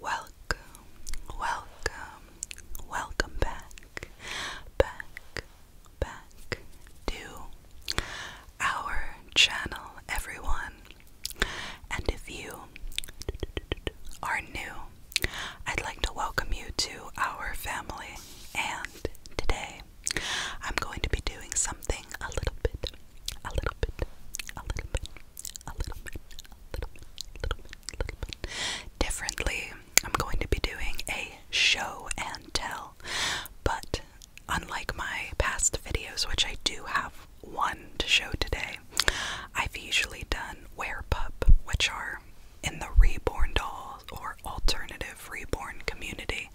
Welcome, welcome, welcome back, back, back to our channel, everyone. And if you are new, I'd like to welcome you to our family. And today I'm going to be doing something a little bit, a little bit, a little bit, a little bit, a little little bit, little bit differently. I'm going to be doing a show and tell, but unlike my past videos, which I do have one to show today, I've usually done wear pup, which are in the Reborn doll or Alternative Reborn community,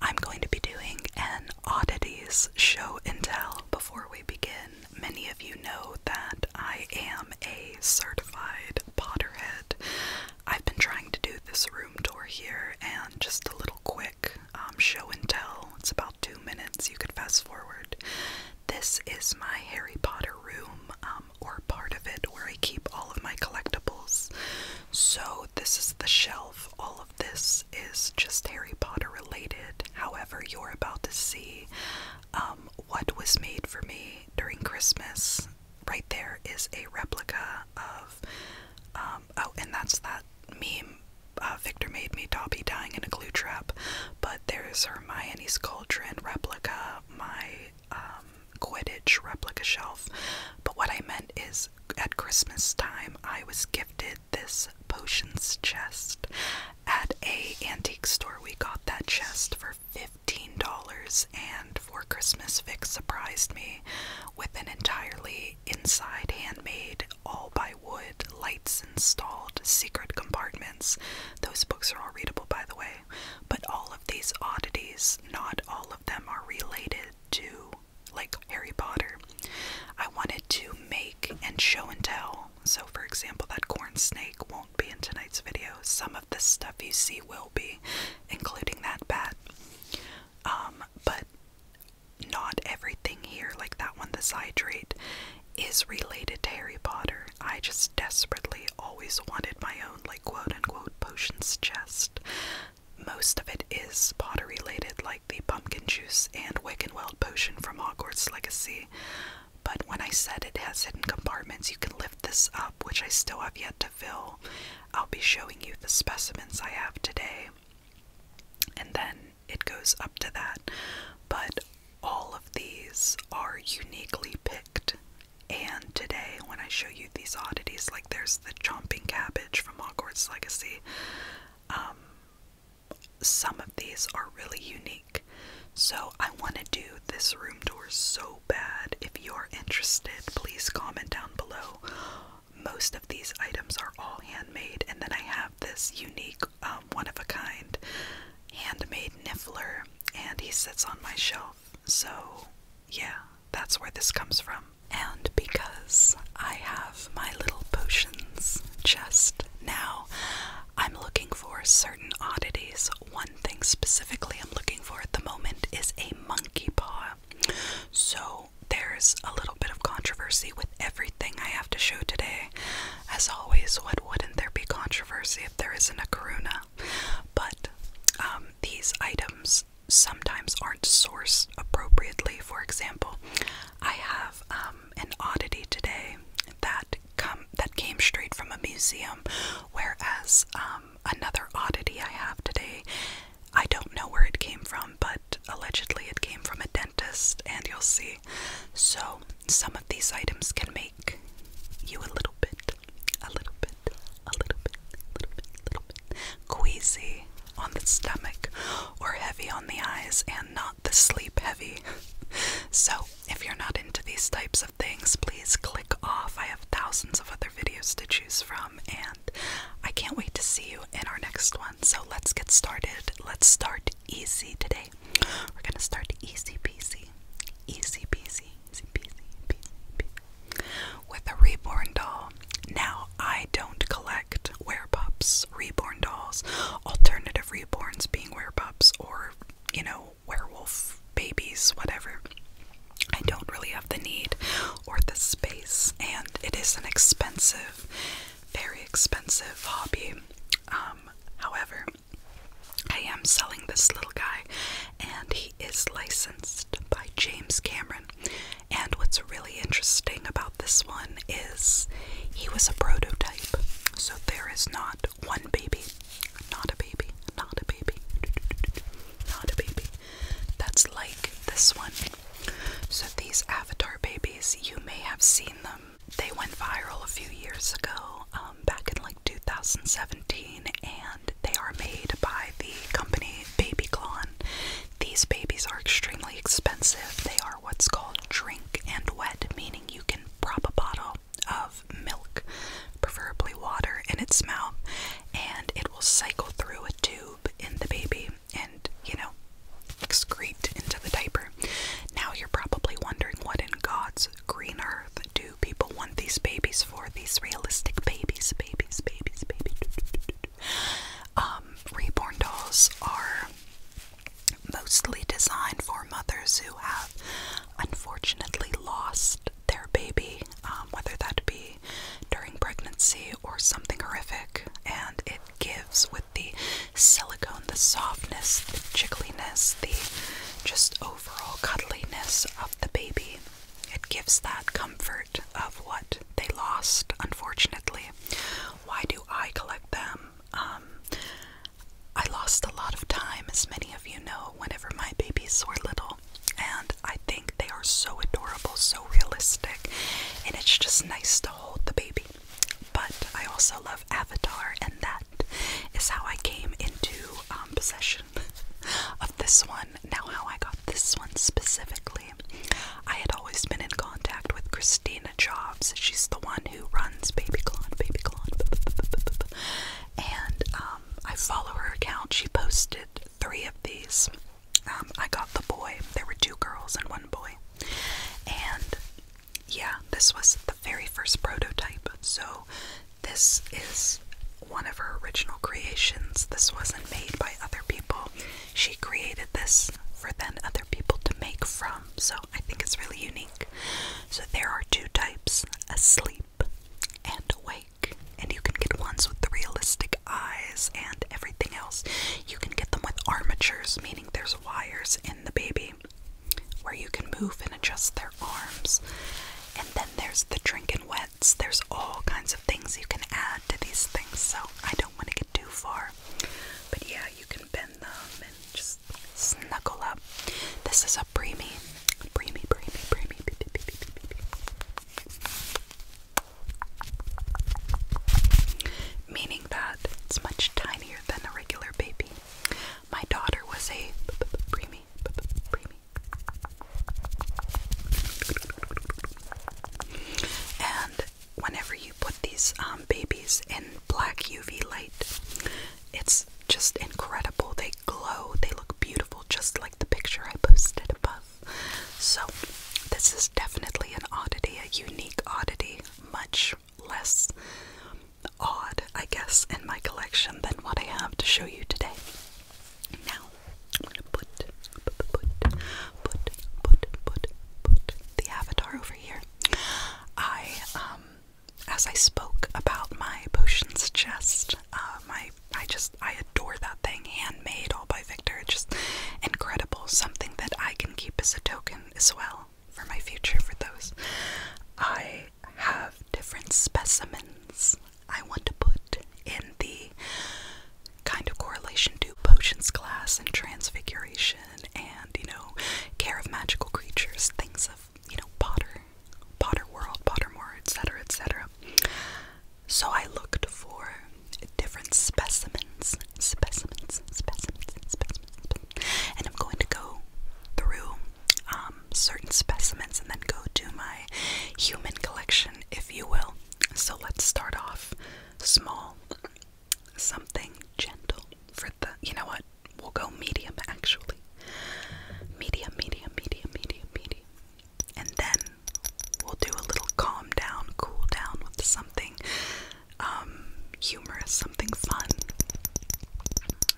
I'm going to be doing an oddities show and tell. Before we begin, many of you know that I am a certified Potterhead. I've been trying to do this room tour here and just a little quick um, show and tell. It's about two minutes, you could fast forward. This is my Harry Potter room. Um, or part of it where I keep all of my collectibles. So, this is the shelf. All of this is just Harry Potter related. However, you're about to see um, what was made for me during Christmas. Right there is a replica of, um, oh, and that's that meme. Uh, Victor made me Dobby dying in a glue trap, but there's Hermione's cauldron replica, my um, Quidditch replica shelf. But what I meant is at Christmas time, I was gifted this potions chest at a antique store. We got that chest for $15 and for Christmas Vic surprised me with an entirely inside handmade all by wood lights installed secret compartments. Those books are all readable by the way. But all of these oddities, not all of them are related to like Harry Potter. I wanted to make and show and tell. So, for example, that corn snake won't be in tonight's video. Some of the stuff you see will be, including that bat. Um, but not everything here, like that one, the Zydrate, is related to Harry Potter. I just desperately always wanted my own, like, quote unquote, potions chest. Most of it is Potter related, like the pumpkin juice and Wicked-Wild potion from Hogwarts Legacy. But when I said it has hidden compartments, you can lift this up, which I still have yet to fill. I'll be showing you the specimens I have today. And then it goes up to that. But all of these are uniquely picked and today, when I show you these oddities, like there's the chomping cabbage from Hogwarts Legacy, um, some of these are really unique. So I want to do this room tour so bad. If you're interested, please comment down below. Most of these items are all handmade, and then I have this unique, um, one of a kind handmade niffler, and he sits on my shelf. So, yeah, that's where this comes from. And because I have my little potions chest now, I'm looking for certain oddities. One thing specifically I'm looking for at the moment is a monkey paw. So, there's a little bit of controversy with everything I have to show today. As always, what wouldn't there be controversy if there isn't a karuna? But um, these items sometimes aren't sourced appropriately. For example, I have um, an oddity today that come that came straight from a museum, whereas um, another oddity I have today, I don't know where it came from, but allegedly it came from a dentist, and you'll see. So some of these items can make you a little bit a little bit, a little bit, little bit, little bit queasy on the stomach or heavy on the eyes and not the sleep heavy. so, if you're not into these types of things, please click off. I have thousands of other videos to choose from, and I can't wait to see you in our next one. So, let's get started. Let's start easy today. We're gonna start easy peasy. Easy peasy. With a reborn doll. Now I don't collect werepups, reborn dolls, alternative reborns being werepups or, you know, werewolf babies, whatever. I don't really have the need or the space, and it is an expensive, very expensive hobby. Um, however, I am selling this little guy, and he is licensed by James Cameron. And what's really interesting about this one is he was a prototype. So there is not one baby, not a baby, not a baby, not a baby. That's like this one. So these Avatar babies, you may have seen them. They went viral a few years ago, um, back in like 2017, and they are made by the company Baby Klon. These babies are extremely expensive. They are what's called drink and wet, meaning you can prop a bottle of milk, preferably water, in its mouth, and it will cycle through a tube in the baby and, you know, excrete into the diaper. Now you're probably wondering what in God's green earth do People want these babies for these realistic babies, babies, babies, babies. Um, reborn dolls are mostly designed for mothers who have unfortunately lost their baby, um, whether that be during pregnancy or something horrific, and it gives with the silicone, the softness, the jiggliness, the just overall cuddliness of the baby. It gives that comfort of what they lost, unfortunately. Why do I collect them? Um, I lost a lot of time, as many of you know, whenever my babies were little, and I think they are so adorable, so realistic, and it's just nice to hold the baby. But I also love Avatar, and that is how I came into um, possession of this one. Now, how I got this one specifically, I had always been in contact with Christina Jobs. She's the one who runs Baby Clon, Baby Clon, and um, I follow her account. She posted three of these. Um, I got the boy. There were two girls and one boy, and yeah, this was the very first prototype. So this is one of her original creations. This wasn't made by other people. She created this for then other people to make from, so I think it's really unique. So there are two types asleep and awake, and you can get ones with realistic eyes and everything else. You can get them with armatures, meaning there's wires in the baby where you can move and adjust their arms. And then there's the drink and web, there's all kinds of things you can add to these things, so I don't want to get too far. But yeah, you can bend them and just snuggle up. This is a preemie. Preemie, preemie, preemie. Meaning that it's much tinier than a regular baby. My daughter was a preemie, preemie, and whenever you put these um, babies in black UV light, it's just incredible. They glow, they look beautiful, just like the picture I posted above. So, this is definitely an oddity, a unique oddity, much less odd, I guess, in my collection than what I have to show you today. Now I'm gonna put put put put put put put the avatar over here. I um as I spoke about my potions chest, uh, my I just I adore that thing, handmade all by Victor. It's just incredible. Something that I can keep as a token as well for my future for those. I have different specimens I want to put in the kind of correlation to potions class and transfiguration and, you know, care of magical creatures, things of, you know, Potter, Potter World, Pottermore, etc., etc. So I looked for different specimens, specimens, specimens, specimens, and I'm going to go through um, certain specimens and then go do my human collection if you will. So let's start off small, something gentle for the. You know what? We'll go medium actually. Medium, medium, medium, medium, medium. And then we'll do a little calm down, cool down with something um, humorous, something fun.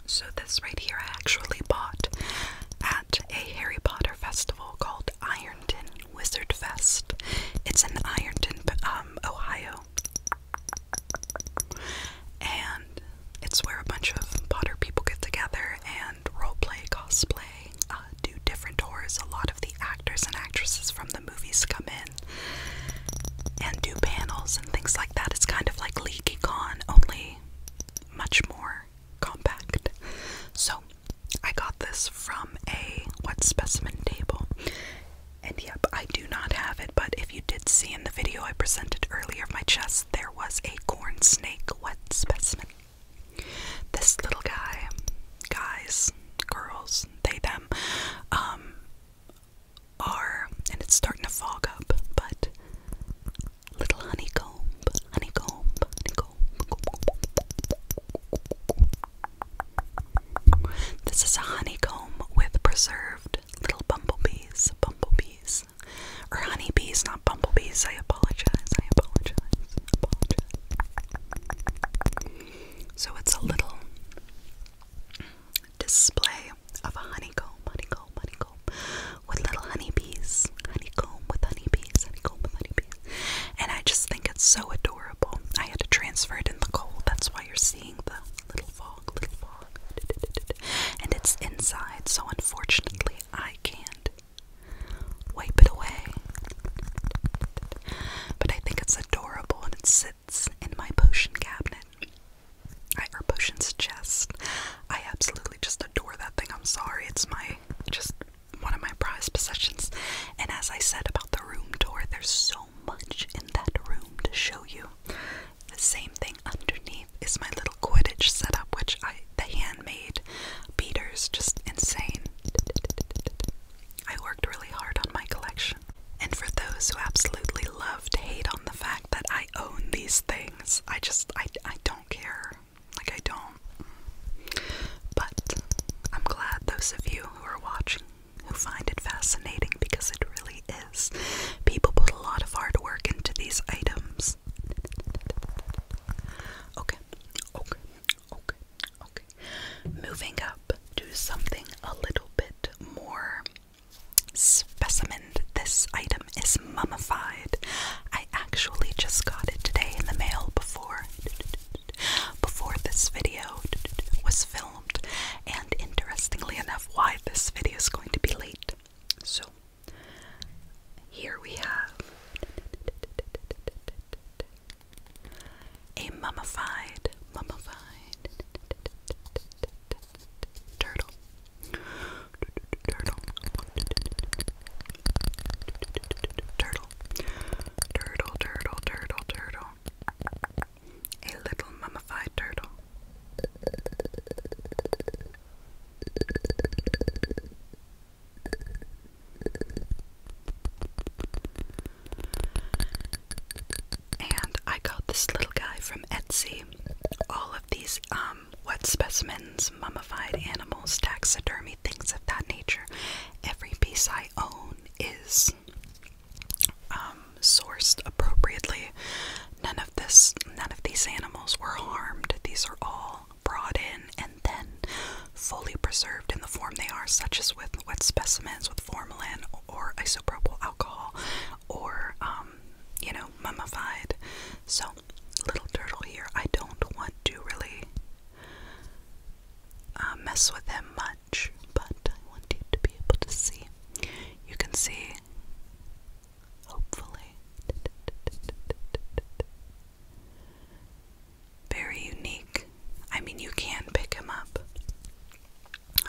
So, this right here I actually bought at a Harry Potter festival called Ironton Wizard Fest. It's in Ironton, um, Ohio. And it's where a bunch of Potter people get together and roleplay, cosplay, uh, do different tours. A lot of the actors and actresses from the movies come in and do panels and things like that. It's kind of like Con, only much more compact. So I got this from a what specimen table. And yep, I do not have it, but if you did see in the video I presented earlier of my chest, there was a corn snake what specimen. This little guy, guys, girls, they, them, um, are, and it's starting to fog up, but little honeycomb, honeycomb, honeycomb. This is a honeycomb with preserved little bumblebees, bumblebees, or honeybees, not bumblebees. I apologize. I apologize. apologize. So it's a little display of a honeycomb, honeycomb, honeycomb with little honeybees. Honeycomb with honeybees, honeycomb with honeybees. And I just think it's so adorable. I had to transfer it in the cold. That's why you're seeing the little fog, little fog. And it's inside, so unfortunately I can't wipe it away. But I think it's adorable and it sits in my potion cabinet. I, or potions chest. I absolutely just adore that thing. I'm sorry, it's my just one of my prized possessions. And as I said about the room door, there's so much in that room to show you. The same thing underneath is my little Quidditch setup, which I the handmade beaters, just insane. I worked really hard on my collection. And for those who absolutely love to hate on the fact that I own these things, I just I I don't care. Like, I don't. But I'm glad those of you who are watching who find it fascinating because it really is. People put a lot of hard work into these items. Okay, okay, okay, okay. Moving up do something a little bit more specimen. This item is mummified. I actually just got it today in the mail before before this video was filmed, and interestingly enough, why this video is going to be late. So here we have a mummified, mummified turtle turtle, turtle, turtle, turtle, turtle, turtle, a little mummified turtle. And I got this little guy from Etsy. All of these um what specimens, mummified animals, taxidermy, things of that nature. Every piece I own is um, sourced appropriately. None of this, none of these animals were harmed. These are all brought in and then fully preserved in the form they are, such as with wet specimens with formalin or isopropyl alcohol, or um, you know, mummified. So little turtle here. I don't want to really uh, mess with him much, but I want to be able to see. You can see, hopefully, very unique. I mean, you can pick him up.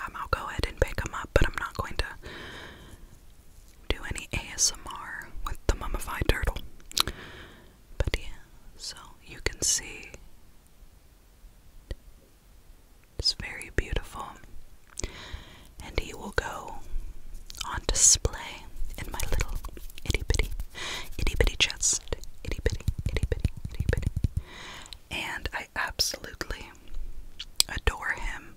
Um, I'll go ahead and pick him up, but I'm not going to do any ASMR with the mummified turtle. But yeah, so you can see it's very beautiful. And he will go on display in my little itty bitty, itty bitty chest. Itty bitty, itty bitty, itty bitty. And I absolutely adore him.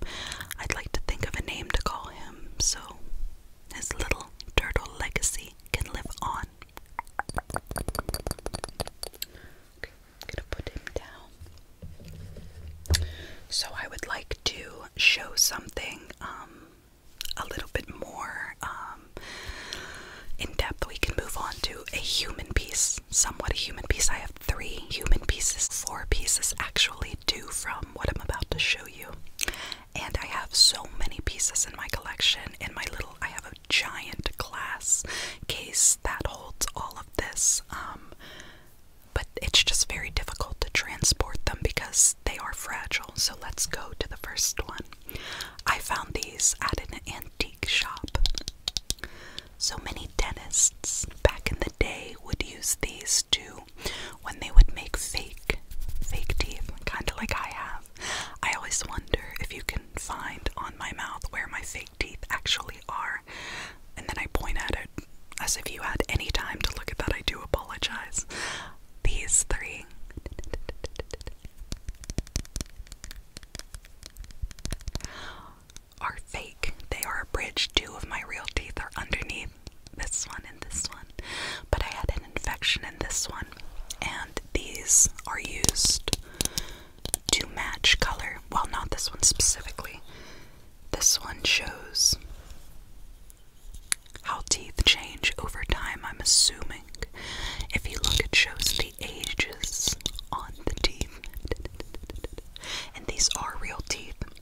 I'd like to think of a name to call him, so his little turtle legacy can live on. gonna put him down. So I would like to show something um, a little bit more um, in depth. We can move on to a human piece, somewhat a human piece. I have three human pieces, four pieces actually, two from what I'm about to show you. And I have so many pieces in my collection. In my little, I have a giant glass case that holds all of this. Um, but it's just very difficult to transport them because they are fragile. So let's go to the first one. I found these at an antique shop. So many dentists back in the day would use these do when they would make fake fake teeth, kind of like I have. I always wonder if you can find on my mouth where my fake teeth actually are, and then I point at it as if you had any time to look at that. I do apologize. These three. Are fake. They are a bridge. Two of my real teeth are underneath, this one, and this one. But I had an infection in this one, and these are used to match color. Well, not this one specifically. This one shows how teeth change over time, I'm assuming. If you look, it shows the ages on the teeth. And these are real teeth.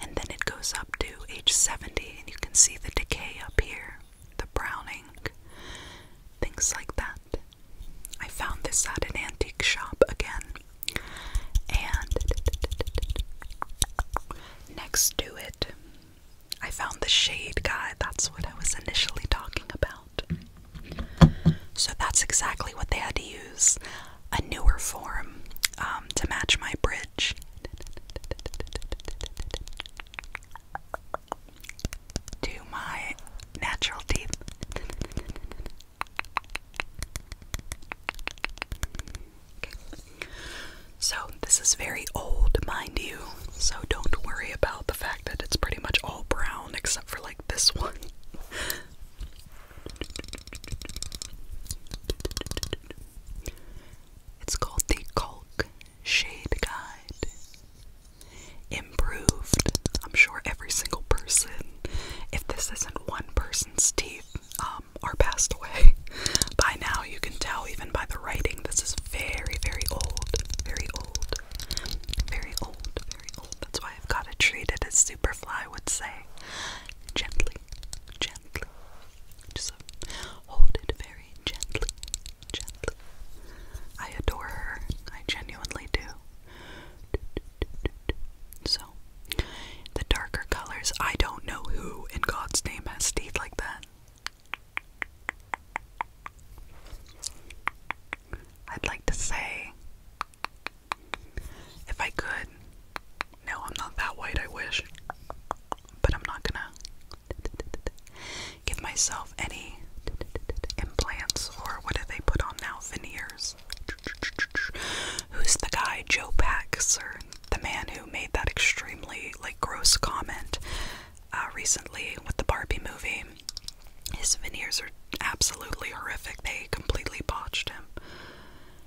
And then it goes up to age 70, and you can see the decay up here, the browning, things like that. I found this at an antique shop again. And next to it, I found the shade guy. That's what I was initially talking about. So that's exactly what they had to use a newer form um, to match my bridge. To my natural teeth. So, this is very old, mind you, so don't worry about the fact that it's pretty much all brown except for like this one. It's called the Colk Shade Guide. Improved. I'm sure every single person, if this isn't one person's teeth, um, are passed away. By now, you can tell even by the writing, this is very, very old. Very old. Very old. Very old. That's why I've got treat it as Superfly would say. Gently gently. Just hold it very gently, I adore her. I genuinely do. So, the darker colors, I don't know who in God's name has teeth like that. I'd like to say if I could. No, I'm not that white, I wish. But I'm not gonna give myself any implants or what do they put on now? Veneers. Who's the guy? Joe Pax, or the man who made that extremely like gross comment uh, recently with the Barbie movie. His veneers are absolutely horrific. They completely botched him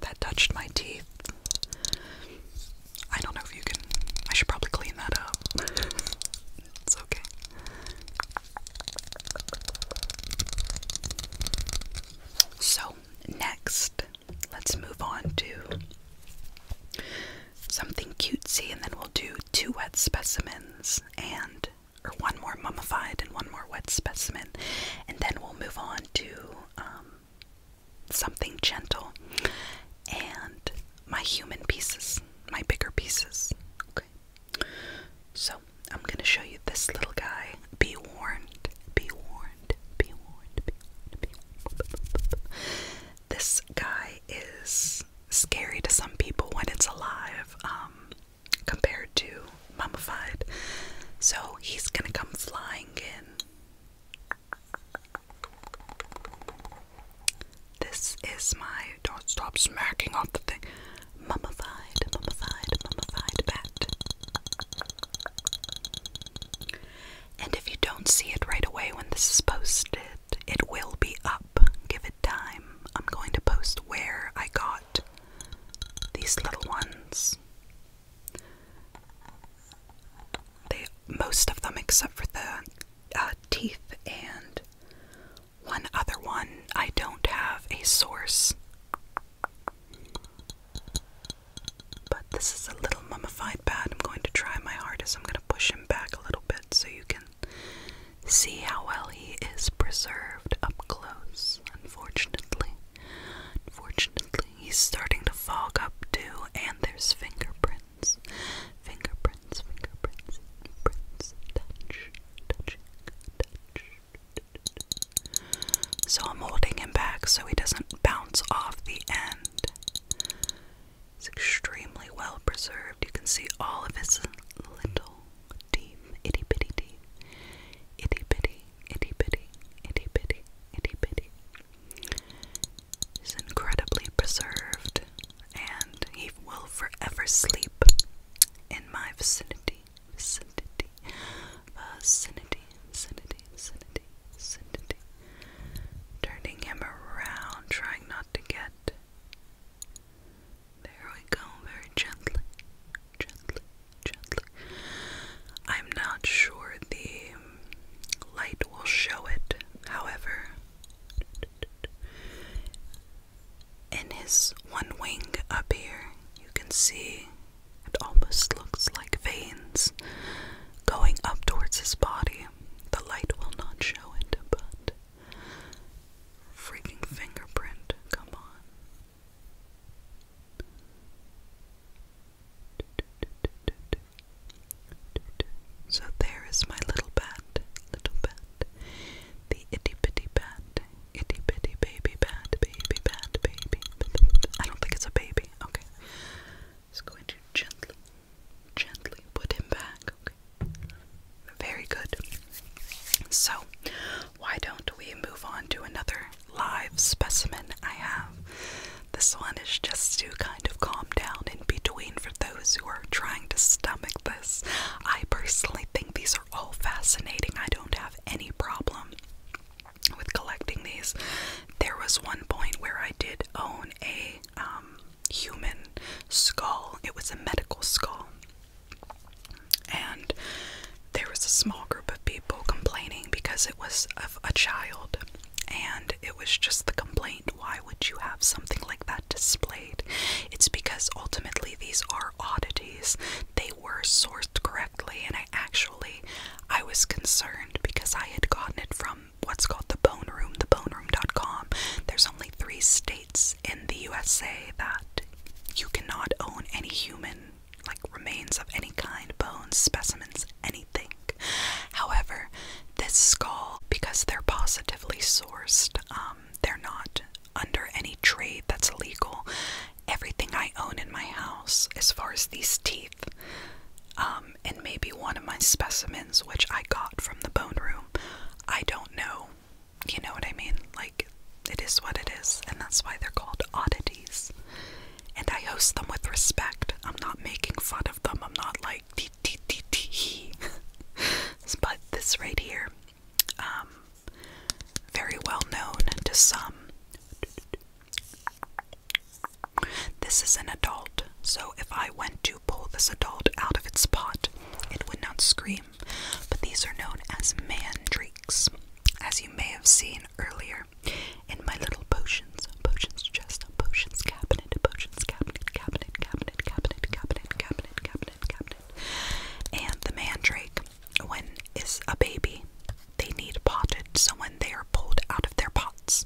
that touched my teeth. I don't know if you can. I should probably clean that up. it's okay. So, next, let's move on to something cutesy, and then we'll do two wet specimens and or one more mummified and one more wet specimen, and then we'll move on to um, something gentle and my human pieces, my bigger pieces. Okay. So I'm gonna show you this little guy. Be warned, be warned, be warned, This guy is scary to some people when it's alive, um, compared to mummified. So he's gonna come flying in. This is my don't stop smacking off the thing. Mummified, mummified, mummified bat. And if you don't see it right away when this is posted, it will be up. Give it time. I'm going to post where I got these little ones most of them, except for the uh, teeth and one other one. I don't have a source, but this is a little mummified bad. I'm going to try my hardest. I'm going to push him back a little bit so you can see how well he is preserved up close. Unfortunately. Unfortunately, he's starting to fog up too, and there's fingerprints. Fingerprints, fingerprints, prints, touch, touch, touch. So I'm holding him back so he doesn't bounce off the end. It's extremely well preserved. You can see all of his little teeth, itty bitty teeth, itty bitty, itty bitty, itty bitty, itty bitty. He's incredibly preserved, and he will forever sleep in my vicinity, vicinity, vicinity, vicinity, vicinity, Turning him around, trying not to get. There we go, very gently, gently, gently. I'm not sure the light will show it, however. In his one wing up here, you can see it almost looks like veins going up towards his body. The light will not show it, but freaking fingerprint, come on. So there is my little bat, little bat, the itty bitty bat, itty bitty baby bat, baby bat, baby. I don't think it's a baby. Okay, just going to gently, gently put him back. Okay, very good. So why don't we move on to another live specimen I have? This one is just to kind of calm down in between for those who are trying to stomach this. I personally think these are all fascinating. I don't have any problem with collecting these. There was one point where I did own a um, human skull, it was a medical skull and there was a small group of people complaining because it was of a child and it was just the complaint why would you have something like that displayed it's because ultimately these are oddities they were sourced correctly and i actually i was concerned because i had gotten it from what's called the bone room theboneroom.com there's only three states in the usa that you cannot own any human like remains of any kind, bones, specimens, anything. However, this skull, because they're positively sourced, um, they're not under any trade that's illegal. Everything I own in my house, as far as these teeth, um, and maybe one of my specimens, which I got from the bone room, I don't know. You know what I mean? Like, it is what it is, and that's why they're called oddities. And I host them with respect. I'm not making fun of them. I'm not like tee tee tee tee. But this right here, um, very well known to some. This is an adult, so if I went to pull this adult out of its pot, it would not scream. But these are known as mandrakes. As you may have seen earlier in my little potions, potions chest, potions cabinet, potions cabinet, cabinet, cabinet, cabinet, cabinet, cabinet, cabinet, cabinet. And the mandrake, when is a baby, they need potted, so when they are pulled out of their pots,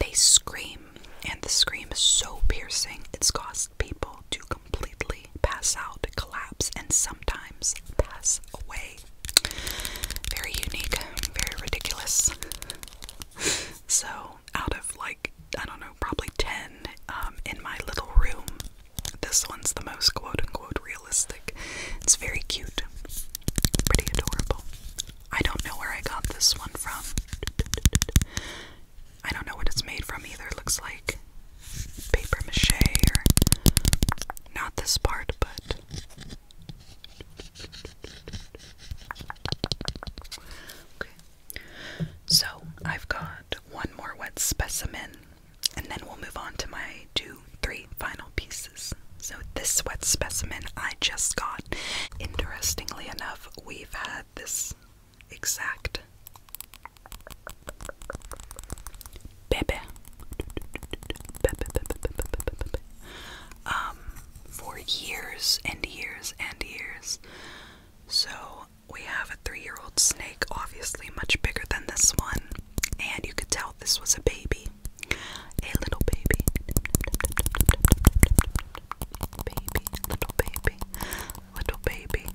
they scream, and the scream is so piercing it's caused people to completely pass out, collapse, and sometimes pass away. Very unique, very ridiculous. so, out of like, I don't know, probably 10 um, in my little room, this one's the most quote unquote realistic. It's very cute, pretty adorable. I don't know where I got this one from. I don't know what it's made from either. looks like paper mache or not this part, but okay. So I've got one more wet specimen, and then we'll move on to my two, three final pieces. So this wet specimen I just got. Interestingly enough, we've had this exact Bebe. Bebe, bebe, bebe, bebe, bebe. Um, for years and years and years. So we have a three year old snake, obviously much bigger than this one. And you could tell this was a baby. A little baby. Baby, little baby, little baby.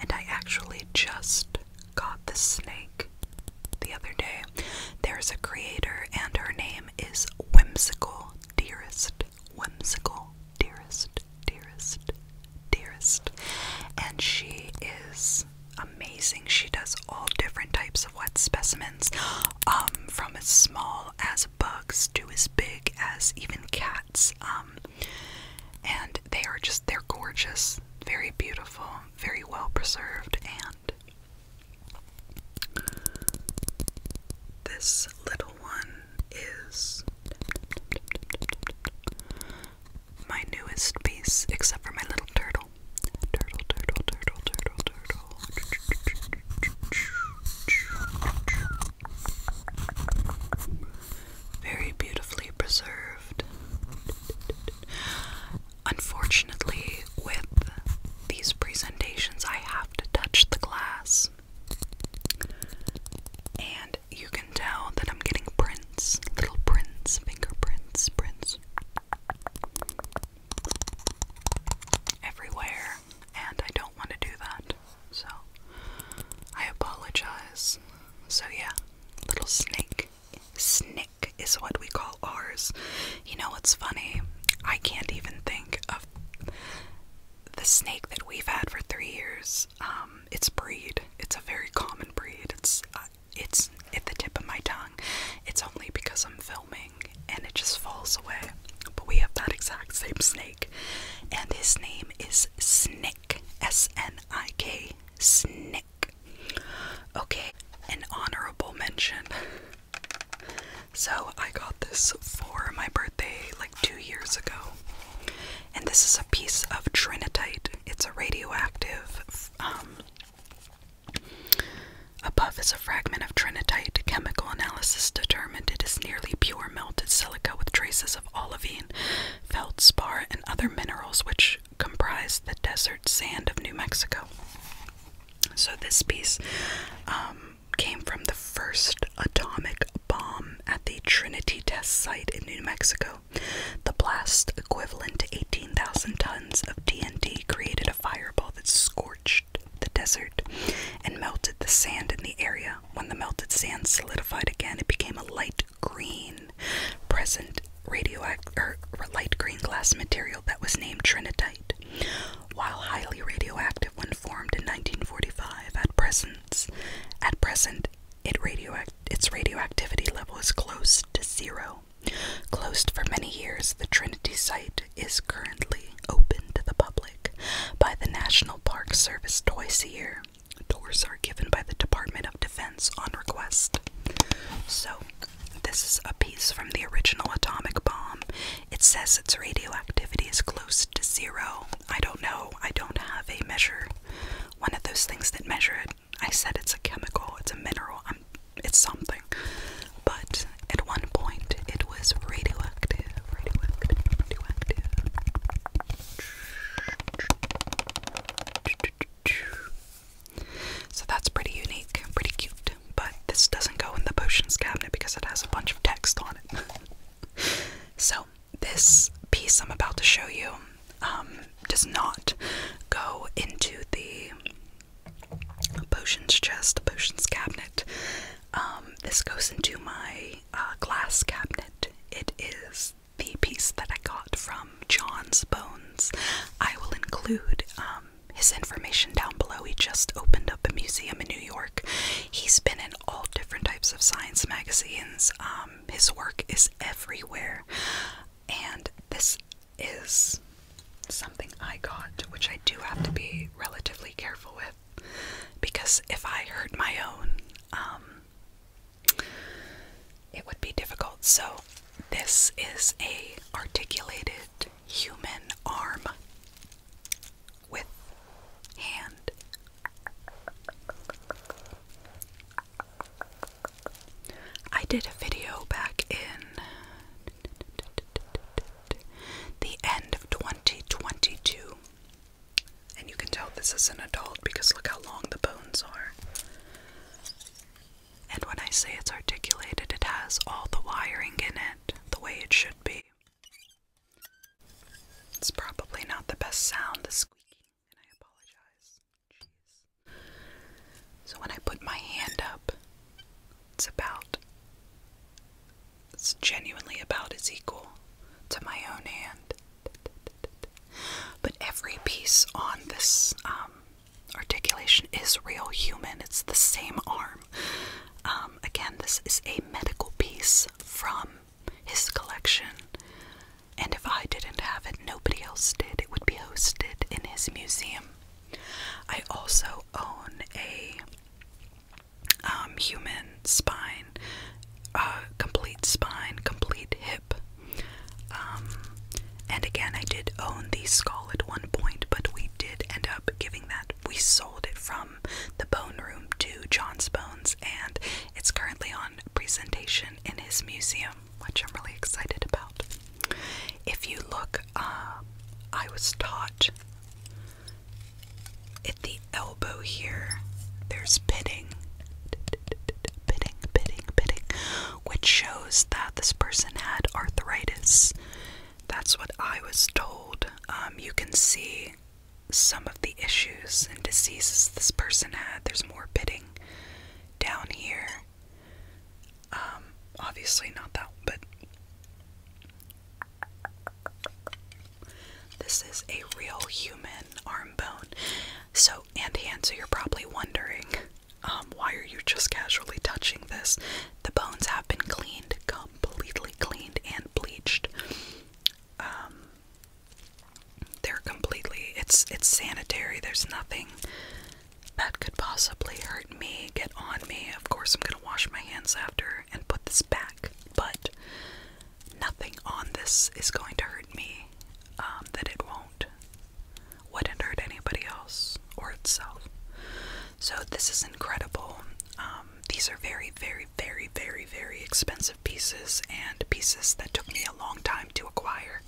And I actually just got the snake the other day. There's a creator, and her name is Whimsical Dearest. Whimsical Dearest, Dearest, Dearest. And she is amazing. She does all different types of wet specimens, um, from as small as bugs to as big as even cats. Um, and and they are just they're gorgeous, very beautiful, very well preserved, and this little one is my newest piece, except for my little turtle. Turtle, turtle, turtle, turtle, turtle very beautifully preserved. Unfortunately, with these presentations, I have to touch the glass. And you can tell that I'm getting prints, little prints, fingerprints, prints everywhere, and I don't want to do that. So I apologize. So yeah, little snake. snake is what we call ours. You know what's funny? I can't even think of the snake that we've had for three years. Um, it's breed. It's a very common breed. It's uh, it's at the tip of my tongue. It's only because I'm filming and it just falls away. But we have that exact same snake, and his name is Snake. Snick. S N I K. Snick. Okay, an honorable mention. So I got this for my birthday like two years ago. And this is a piece of trinitite. It's a radioactive. Um, Above is a fragment of trinitite. Chemical analysis determined it is nearly pure melted silica with traces of olivine, feldspar, and other minerals which comprise the desert sand of New Mexico. So, this piece um, came from the first atomic bomb at the Trinity Test Site in New Mexico. The blast, equivalent to 18,000 tons of TNT, created a fireball that scorched the desert and melted the sand in the area. When the melted sand solidified again, it became a light green present radioactive er, light green glass material that was named trinitite. While highly radioactive when formed in 1945, at present, at present it radioact its radioactivity level is close to zero. Closed for many years, the Trinity site is currently open to the public by the National Park Service twice a year. Doors are given by the Department of Defense on request. So, this is a piece from the original atomic bomb. It says its radioactivity is close to zero. I don't know. I don't have a measure. One of those things that measure it. I said it's a chemical, it's a mineral, I'm, it's something. But at one point, it was radioactive. So that's pretty unique, pretty cute. But this doesn't go in the potions cabinet because it has a bunch of text on it. so this piece I'm about to show you um, does not go into the potions chest, potions cabinet. Um, this goes into my uh, glass cabinet. It is the piece that I got from John's Bones. I will include um, his information down below. He just opened up a museum in New York. He's been in all different types of science magazines. Um, his work is everywhere. And this is something I got, which I do have to be relatively careful with because if I hurt my own, um, it would be difficult. So this is a articulated human arm with hand. I did a video back in the end of 2022 and you can tell this is an adult because look how long the bones are. And when I say it's articulated, it has all the wiring in it the way it should be. It's probably not the best sound, the squeaking, and I apologize. Jeez. So when I put my hand up, it's about, it's genuinely about as equal to my own hand. But every piece on this um, articulation is real human. It's the same arm. Um, again, this is a medical piece from his collection. And if I didn't have it, nobody else did. It would be hosted in his museum. I also own a um, human spine spine, uh, complete spine, complete hip. Um, and again, I did own the skull at one point, but we did end up giving that. We sold it from the Bone Room to John's Bones, and it's currently on presentation in his museum, which I'm really excited about. If you look, uh, I was taught at the elbow here, there's pitting. Pitting, pitting, pitting, which shows that this person had arthritis. That's what I was told. Um, you can see some of the issues and diseases this person had. There's more pitting down here. Um, obviously not that, but this is a real human arm bone. So, and hand, so you're probably wondering, um, why are you just casually touching this? The bones have been cleaned, completely cleaned and bleached. Um, they're completely, it's, it's sanitary. There's nothing that could possibly hurt me, get on me. Of course, I'm gonna wash my hands after and put this back, but nothing on this is going to hurt me, um, that it won't, wouldn't hurt anybody else or itself. So this is incredible. Um, these are very, very, very, very, very expensive pieces and pieces that took me a long time to acquire.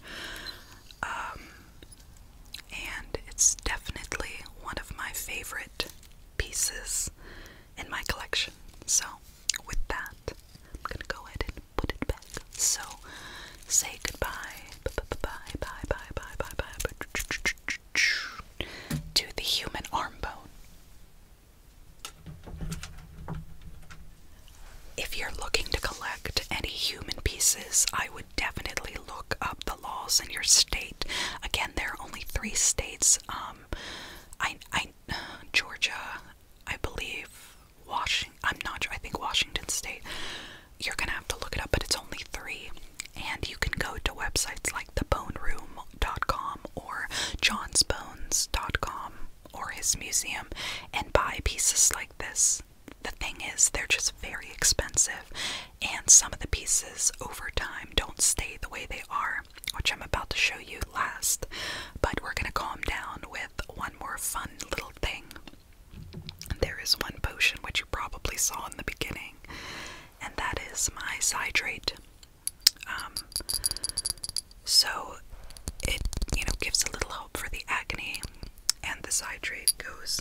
Um, and it's definitely one of my favorite pieces in my collection. So, with that, I'm gonna go ahead and put it back. So, say goodbye, bye, bye, bye, bye, bye, bye, bye, to the human arm bone. If you're looking to collect any human pieces, I would definitely look up the laws in your state. Again, there are only three states. Um, I, I, Georgia, I believe Washington, I'm not sure, I think Washington State. You're gonna have to look it up, but it's only three. And you can go to websites like theboneroom.com or johnsbones.com or his museum and buy pieces like this. The thing is, they're just very expensive, and some of the pieces over time don't stay the way they are which I'm about to show you last, but we're gonna calm down with one more fun little thing. There is one potion which you probably saw in the beginning, and that is my Cydrate. Um, so it you know gives a little hope for the agony, and the Cydrate goes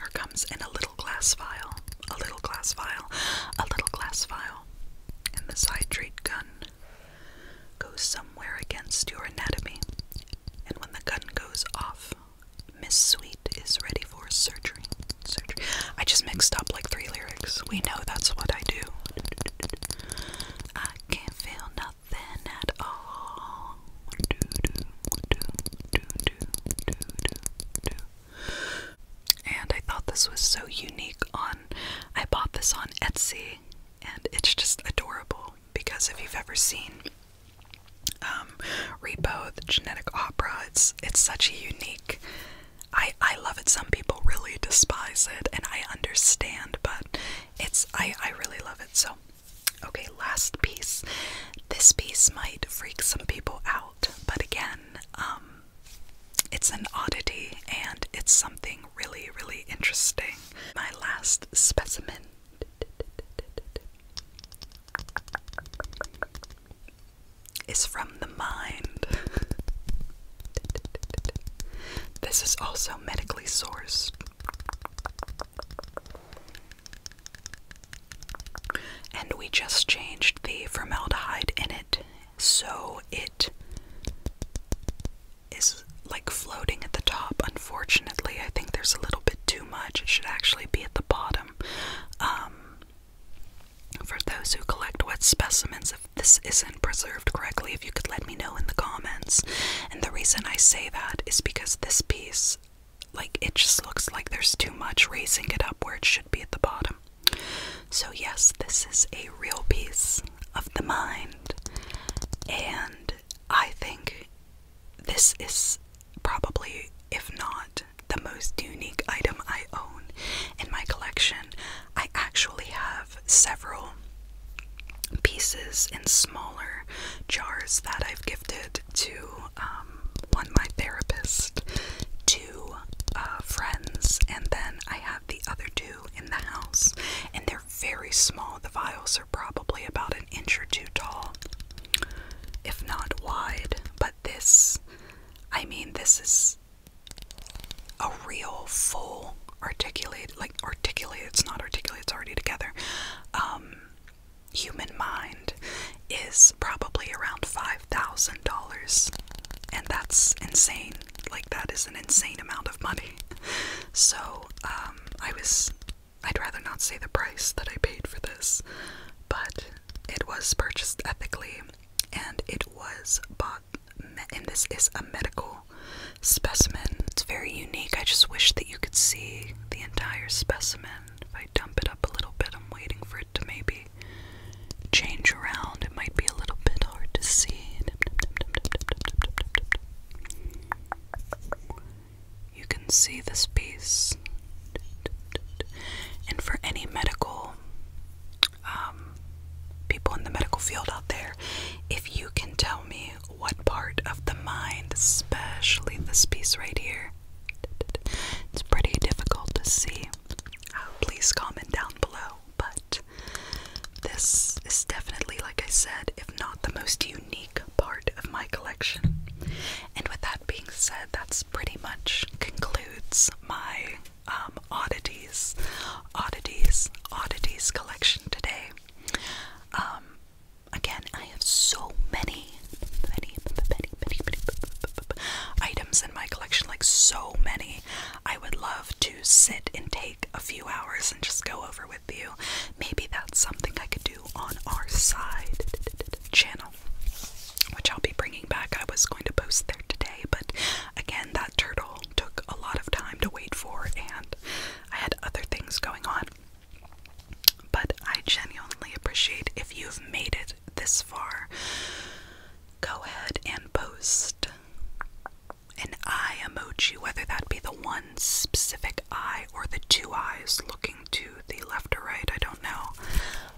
or comes in a little glass vial, a little glass vial, a little glass vial, and the Cydrate gun goes somewhere against your anatomy, and when the gun goes off, Miss Sweet is ready for surgery. Surgery. I just mixed up like three lyrics. We know that's what I do. I can't feel nothing at all. do and I thought this was so unique on I bought this on Etsy and it's just adorable because if you've ever seen um, Repo the Genetic Opera it's it's such a unique I I love it some people really despise it and I understand but it's I I really love it so okay last piece this piece might freak some people out but again um, it's an oddity and it's something really, really interesting. My last specimen. Is from the mind. this is also medically sourced. And we just changed the formaldehyde in it, so it it is like floating at the top. Unfortunately, I think there's a little bit too much. It should actually be at the bottom. Um, for those who collect wet specimens, if this isn't preserved correctly, if you could let me know in the comments. And the reason I say that is because this piece, like, it just looks like there's too much raising it up where it should be at the bottom. So, yes, this is a real piece of the mind, and I think this is probably, if not, the most unique item I own in my collection. I actually have several pieces in smaller jars that I've gifted to um, one, my therapist, two uh, friends, and then I have the other two in the house, and they're very small. The vials are probably about an inch or two tall, if not wide. But this, I mean, this is a real full articulated, like articulated, it's not articulate, it's already together. Um, human mind is probably around $5,000, and that's insane. Like, that is an insane amount of money. So, um, I was. I'd rather not say the price that I paid for this, but it was purchased ethically and it was bought. And this is a medical specimen. It's very unique. I just wish that you could see the entire specimen. If I dump it up a little bit, I'm waiting for it to maybe change around. It might be a little bit hard to see. You can see this piece. And for any medical um, people in the medical field out there, if you can tell me what part of the mind, especially this piece right here, it's pretty difficult to see. please comment down below but this is definitely, like I said, if not the most unique part of my collection. And with that being said, that's pretty much concludes my oddities, oddities, oddities collection today. again, I have so many, many, many, many, many items in my collection, like so many. I would love to sit and take a few hours and just go over with you. Maybe that's something I could do on our side channel, which I'll be bringing back. I was going to post there today, but again, that turtle took a lot of time to wait for, and I had other things going on. But I genuinely appreciate if you've made it this far. Go ahead and post an eye emoji, whether that be the one specific eye or the two eyes looking to the left or right, I don't know.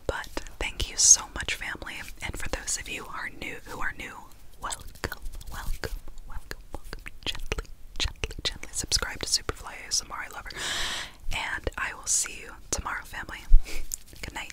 But thank you so much, family. And for those of you who are new, who are new, welcome, welcome, welcome, welcome. Gently, gently, gently subscribe to Superfly ASMR. I love her. And I will see you tomorrow, family. Good night.